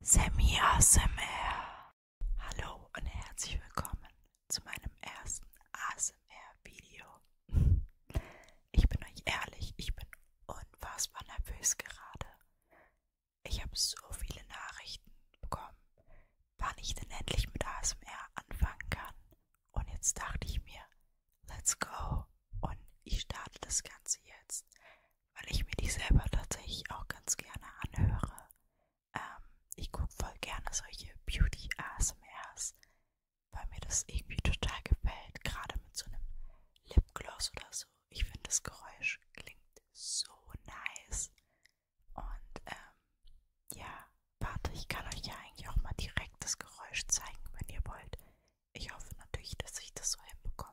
Sammy ASMR. Hallo und herzlich willkommen zu meinem ersten ASMR-Video. Ich bin euch ehrlich, ich bin unfassbar nervös gerade. Ich habe so viele Nachrichten bekommen, wann ich denn endlich mit ASMR anfangen kann. Und jetzt dachte ich mir, let's go. Und ich starte das Ganze jetzt weil ich mir die selber tatsächlich auch ganz gerne anhöre. Ähm, ich gucke voll gerne solche Beauty ASMRs, weil mir das irgendwie total gefällt, gerade mit so einem Lipgloss oder so. Ich finde das Geräusch klingt so nice. Und ähm, ja, warte, ich kann euch ja eigentlich auch mal direkt das Geräusch zeigen, wenn ihr wollt. Ich hoffe natürlich, dass ich das so hinbekomme.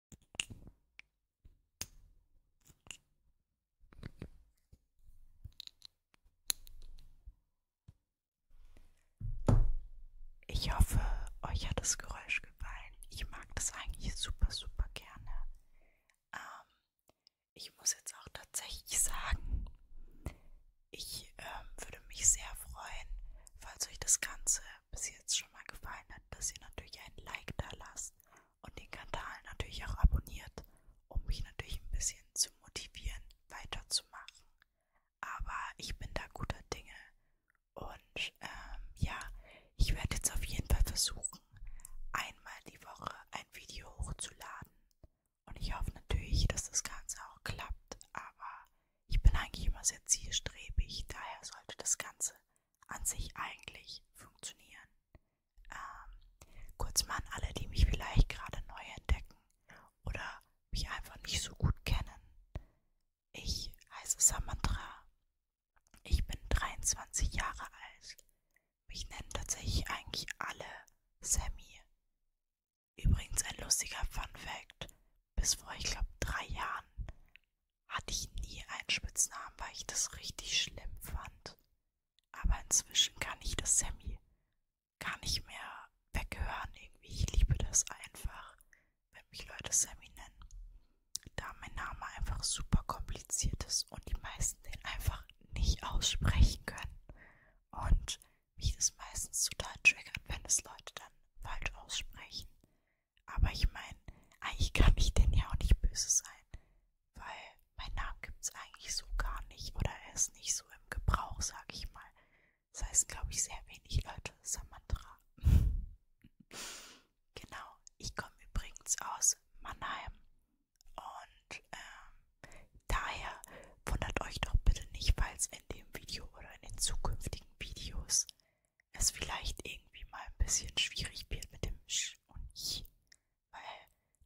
Ich hoffe, euch hat das Geräusch gefallen. Ich mag das eigentlich super, super gerne. Ähm, ich muss jetzt auch tatsächlich sagen, ich ähm, würde mich sehr freuen, falls euch das Ganze bis jetzt schon mal gefallen hat, dass ihr natürlich ein Like da lasst und den Kanal natürlich auch abonniert, um mich natürlich ein bisschen zu motivieren, weiterzumachen. Aber ich bin da guter Dinge und ähm, ja, ich werde jetzt auf jeden Fall versuchen, einmal die Woche ein Video hochzuladen. Und ich hoffe natürlich, dass das Ganze auch klappt, aber ich bin eigentlich immer sehr zielstrebig, daher sollte das Ganze an sich eigentlich funktionieren. Ähm, kurz mal an alle, die mich vielleicht gerade neu entdecken oder mich einfach nicht so gut kennen. Ich heiße Samantra. Ich bin 23 Jahre alt. Mich nennen tatsächlich eigentlich alle Sammy. Übrigens ein lustiger Fun Fact. Bis vor, ich glaube, drei Jahren hatte ich nie einen Spitznamen, weil ich das richtig schlimm fand. Aber inzwischen kann ich das Sammy gar nicht mehr weghören. Irgendwie, ich liebe das einfach, wenn mich Leute Sammy nennen. Da mein Name einfach super kompliziert ist und die meisten den einfach nicht aussprechen können. Und mich das meistens total triggert, wenn es Leute dann falsch aussprechen. Aber ich meine, eigentlich kann ich denen ja auch nicht böse sein, weil mein Name gibt's eigentlich so gar nicht oder er ist nicht so im Gebrauch, sag ich mal. Das heißt, glaube ich, sehr wenig Leute Samantra. genau, ich komme übrigens aus Mannheim und ähm, daher wundert euch doch bitte nicht, falls in dem Video oder in den zukünftigen Videos es vielleicht irgendwie mal ein bisschen schwierig wird mit dem Sch und Ich, weil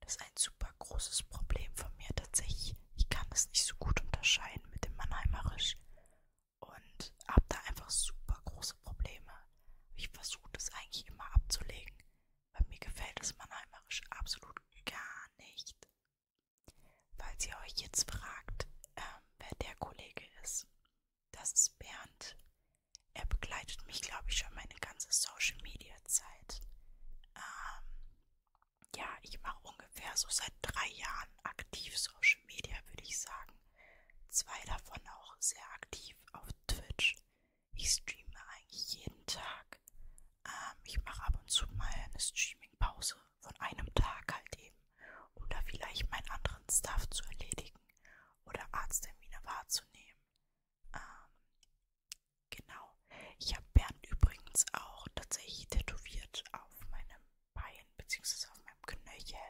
das ist ein super großes Problem von mir tatsächlich. Ich kann es nicht so gut unterscheiden mit dem Mannheimerisch und habe da einfach super große Probleme. Ich versuche das eigentlich immer abzulegen, weil mir gefällt das Mannheimerisch absolut gar nicht. Falls ihr euch jetzt fragt, ähm, wer der Kollege ist, das ist Bernd. Er begleitet mich, glaube ich, schon meine ganze Social-Media-Zeit. Ähm, ja, ich mache ungefähr so seit drei Jahren aktiv Social-Media, würde ich sagen. Zwei davon auch sehr aktiv auf Twitch. Ich streame eigentlich jeden Tag. Ähm, ich mache ab und zu mal eine Streaming-Pause von einem Tag halt eben oder vielleicht meinen anderen Stuff zu erledigen oder Arzttermine wahrzunehmen. Ähm, genau. Ich habe Bernd übrigens auch tatsächlich tätowiert auf meinem Bein bzw. auf meinem Knöchel,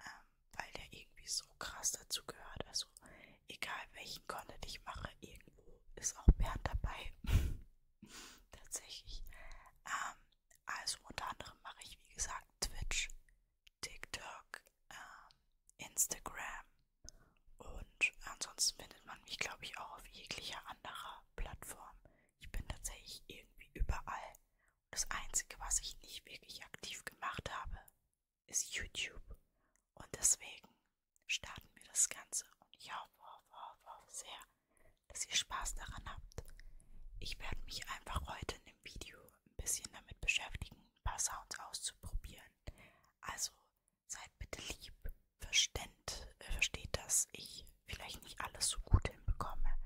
ähm, weil der irgendwie so krass dazu gehört. Also egal welchen Content ich mache, irgendwo ist auch Bernd dabei. tatsächlich. Ähm, also unter anderem mache ich, wie gesagt, Twitch, TikTok, äh, Instagram und ansonsten findet man mich, glaube ich, auch auf jeglicher anderer Plattform. Ich bin tatsächlich irgendwie überall. Und das Einzige, was ich nicht wirklich aktiv gemacht habe, ist YouTube. Und deswegen starten wir das Ganze und ich hoffe, hoffe, hoffe sehr, dass ihr Spaß daran habt. Ich werde mich einfach heute in dem Video ein bisschen damit beschäftigen, ein paar Sounds auszuprobieren. Also seid bitte lieb, versteht, äh, versteht dass ich vielleicht nicht alles so gut hinbekomme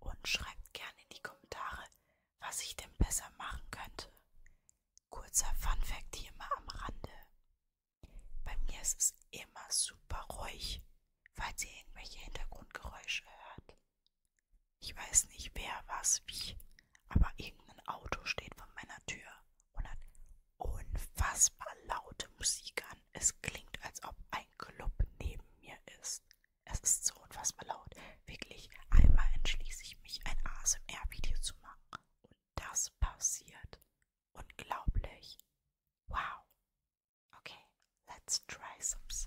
und schreibt gerne in die Kommentare, was ich denn besser machen könnte. Kurzer Funfact hier mal am Rande. Bei mir ist es immer super ruhig, falls ihr irgendwelche Hintergrundgeräusche hört. Ich weiß nicht, wer, was, wie, aber irgendein Auto steht vor meiner Tür und hat unfassbar laute Musik an. Es klingt, als ob ein Club neben mir ist. Es ist so unfassbar laut. Wirklich, einmal entschließe ich mich, ein ASMR-Video zu machen. Und das passiert. Unglaublich. Wow. Okay, let's try some sounds.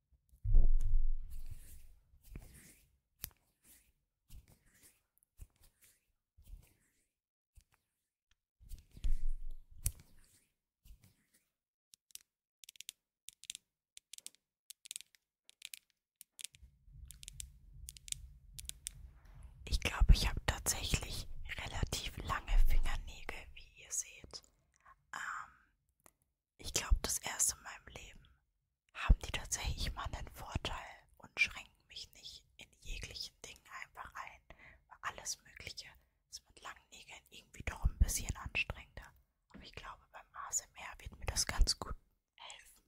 Ich glaube, ich habe tatsächlich relativ lange Fingernägel, wie ihr seht. Ähm, ich glaube, das erste in meinem Leben haben die tatsächlich mal einen Vorteil und schränken mich nicht in jeglichen Dingen einfach ein, weil alles Mögliche ist mit langen Nägeln irgendwie doch ein bisschen anstrengender. Aber ich glaube, beim ASMR wird mir das ganz gut helfen.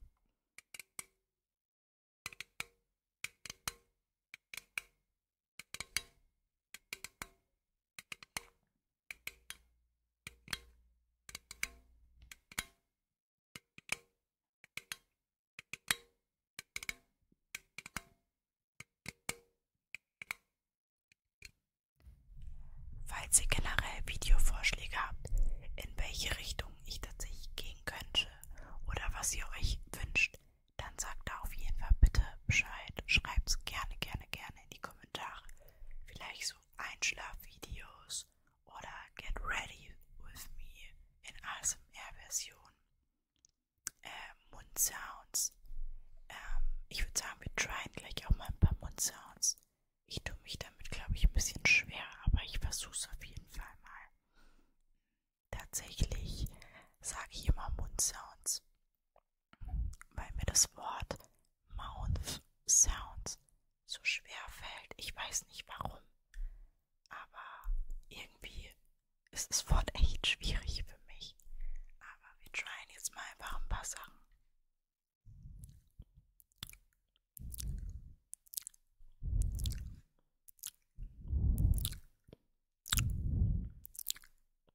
Falls ihr generell Videovorschläge habt, in welche Richtung ich tatsächlich gehen könnte oder was ihr euch wünscht, dann sagt da auf jeden Fall bitte Bescheid. Schreibt es gerne, gerne, gerne in die Kommentare. Vielleicht so Einschlafvideos oder Get Ready with Me in ASMR-Version. Ähm, Mundsounds. Ähm, ich würde sagen, wir tryen gleich auch mal ein paar Mundsounds. Ich tue mich damit, glaube ich, ein bisschen schwer, aber ich versuche es auf jeden Fall mal. Tatsächlich sage ich immer Mundsounds, weil mir das Wort Mouth Sounds so schwer fällt. Ich weiß nicht warum, aber irgendwie ist das Wort echt schwierig für mich. Aber wir tryen jetzt mal einfach ein paar Sachen.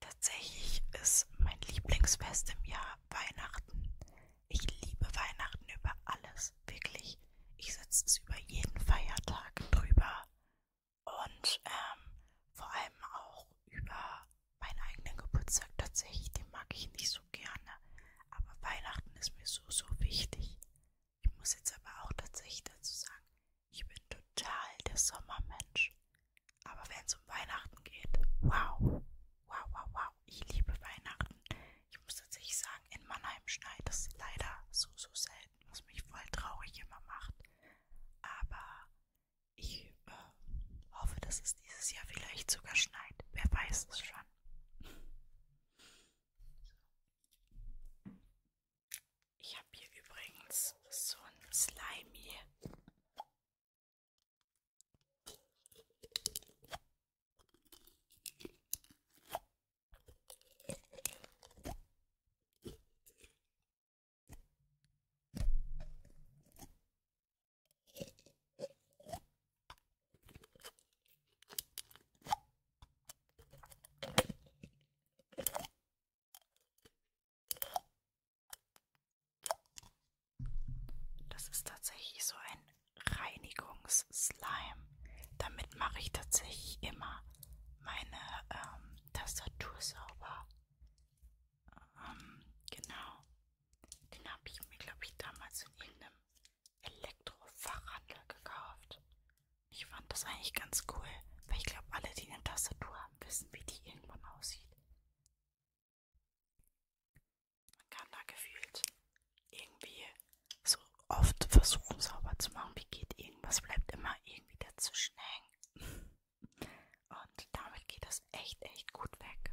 Tatsächlich ist mein Lieblingsfest im Jahr Weihnachten. Ich liebe Weihnachten über alles, wirklich. Ich setze es über jeden Feiertag drüber und ähm, vor allem auch über meinen eigenen Geburtstag tatsächlich, den mag ich nicht so gerne. Aber Weihnachten ist mir so, so wichtig. Ich muss jetzt aber auch tatsächlich dazu sagen, ich bin total der Sommermensch. Aber wenn es um Weihnachten geht, wow, wow, wow, wow, ich liebe Weihnachten. Ich muss tatsächlich sagen, in Mannheim schneit es leider so, so selten, was mich voll traurig immer macht. Aber ich äh, hoffe, dass es dieses Jahr vielleicht sogar schneit. Wer weiß es schon. So. Ich habe hier übrigens so ein Slimy. Das ist tatsächlich so ein Reinigungsslime. Damit mache ich tatsächlich immer meine ähm, Tastatur sauber. Ähm, genau. Den habe ich mir, glaube ich, damals in irgendeinem Elektrofachhandel gekauft. Ich fand das eigentlich ganz cool, weil ich glaube, alle, die eine Tastatur haben, wissen, wie die irgendwann aussieht. Man kann da gefühlt irgendwie so oft versuchen, sauber zu machen, wie geht irgendwas, bleibt immer irgendwie dazwischen hängen. Und damit geht das echt, echt gut weg.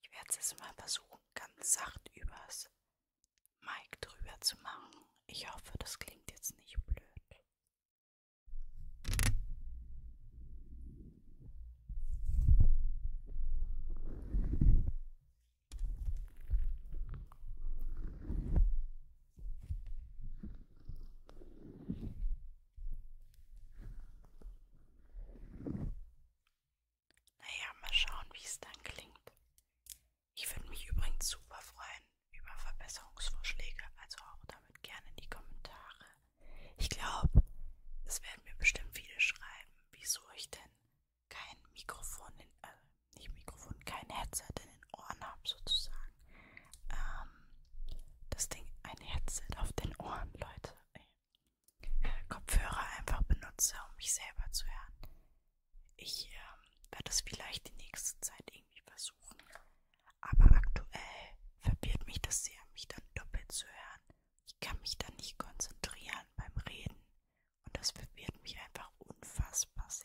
Ich werde es jetzt mal versuchen, ganz sacht übers Mic drüber zu machen. Ich hoffe, das klingt jetzt nicht blöd. Naja, mal schauen, wie es dann klingt. Ich würde mich übrigens super freuen über Verbesserungsvorschläge, also auch damit gerne in die Kommentare. Ich glaube, es werden mir bestimmt viele schreiben, wieso ich denn kein Mikrofon, in, äh, nicht Mikrofon, kein Headset in den Ohren habe sozusagen. Ähm, das Ding, ein Headset auf den Ohren, Leute. Äh, Kopfhörer einfach benutze, um mich selber zu hören. Ich ähm, werde es vielleicht die nächste Zeit irgendwie versuchen, aber aktuell verbiert mich das sehr, mich dann doppelt zu hören. Ich kann mich dann nicht konzentrieren beim Reden. Und das verwirrt mich einfach unfassbar sehr.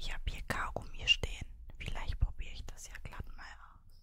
Ich habe hier Kaugummi stehen. Vielleicht probiere ich das ja glatt mal aus.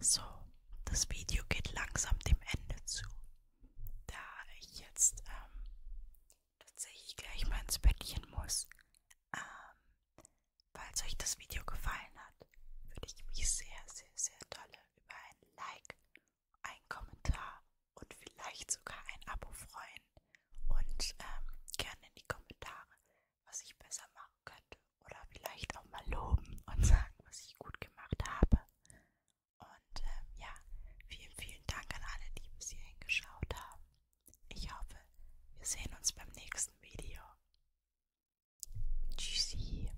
So, das Video geht langsam dem Ende zu, da ich jetzt ähm, tatsächlich gleich mal ins Bettchen muss. Ähm, falls euch das Video gefallen hat, würde ich mich sehr, sehr, sehr dolle über ein Like, einen Kommentar und vielleicht sogar ein Abo freuen. Und ähm, gerne in die Kommentare, was ich besser machen könnte oder vielleicht auch mal loben und sagen, was ich gut gemacht habe. Und ähm, ja, vielen, vielen Dank an alle, die bis hierhin geschaut haben. Ich hoffe, wir sehen uns beim nächsten Video. Tschüssi.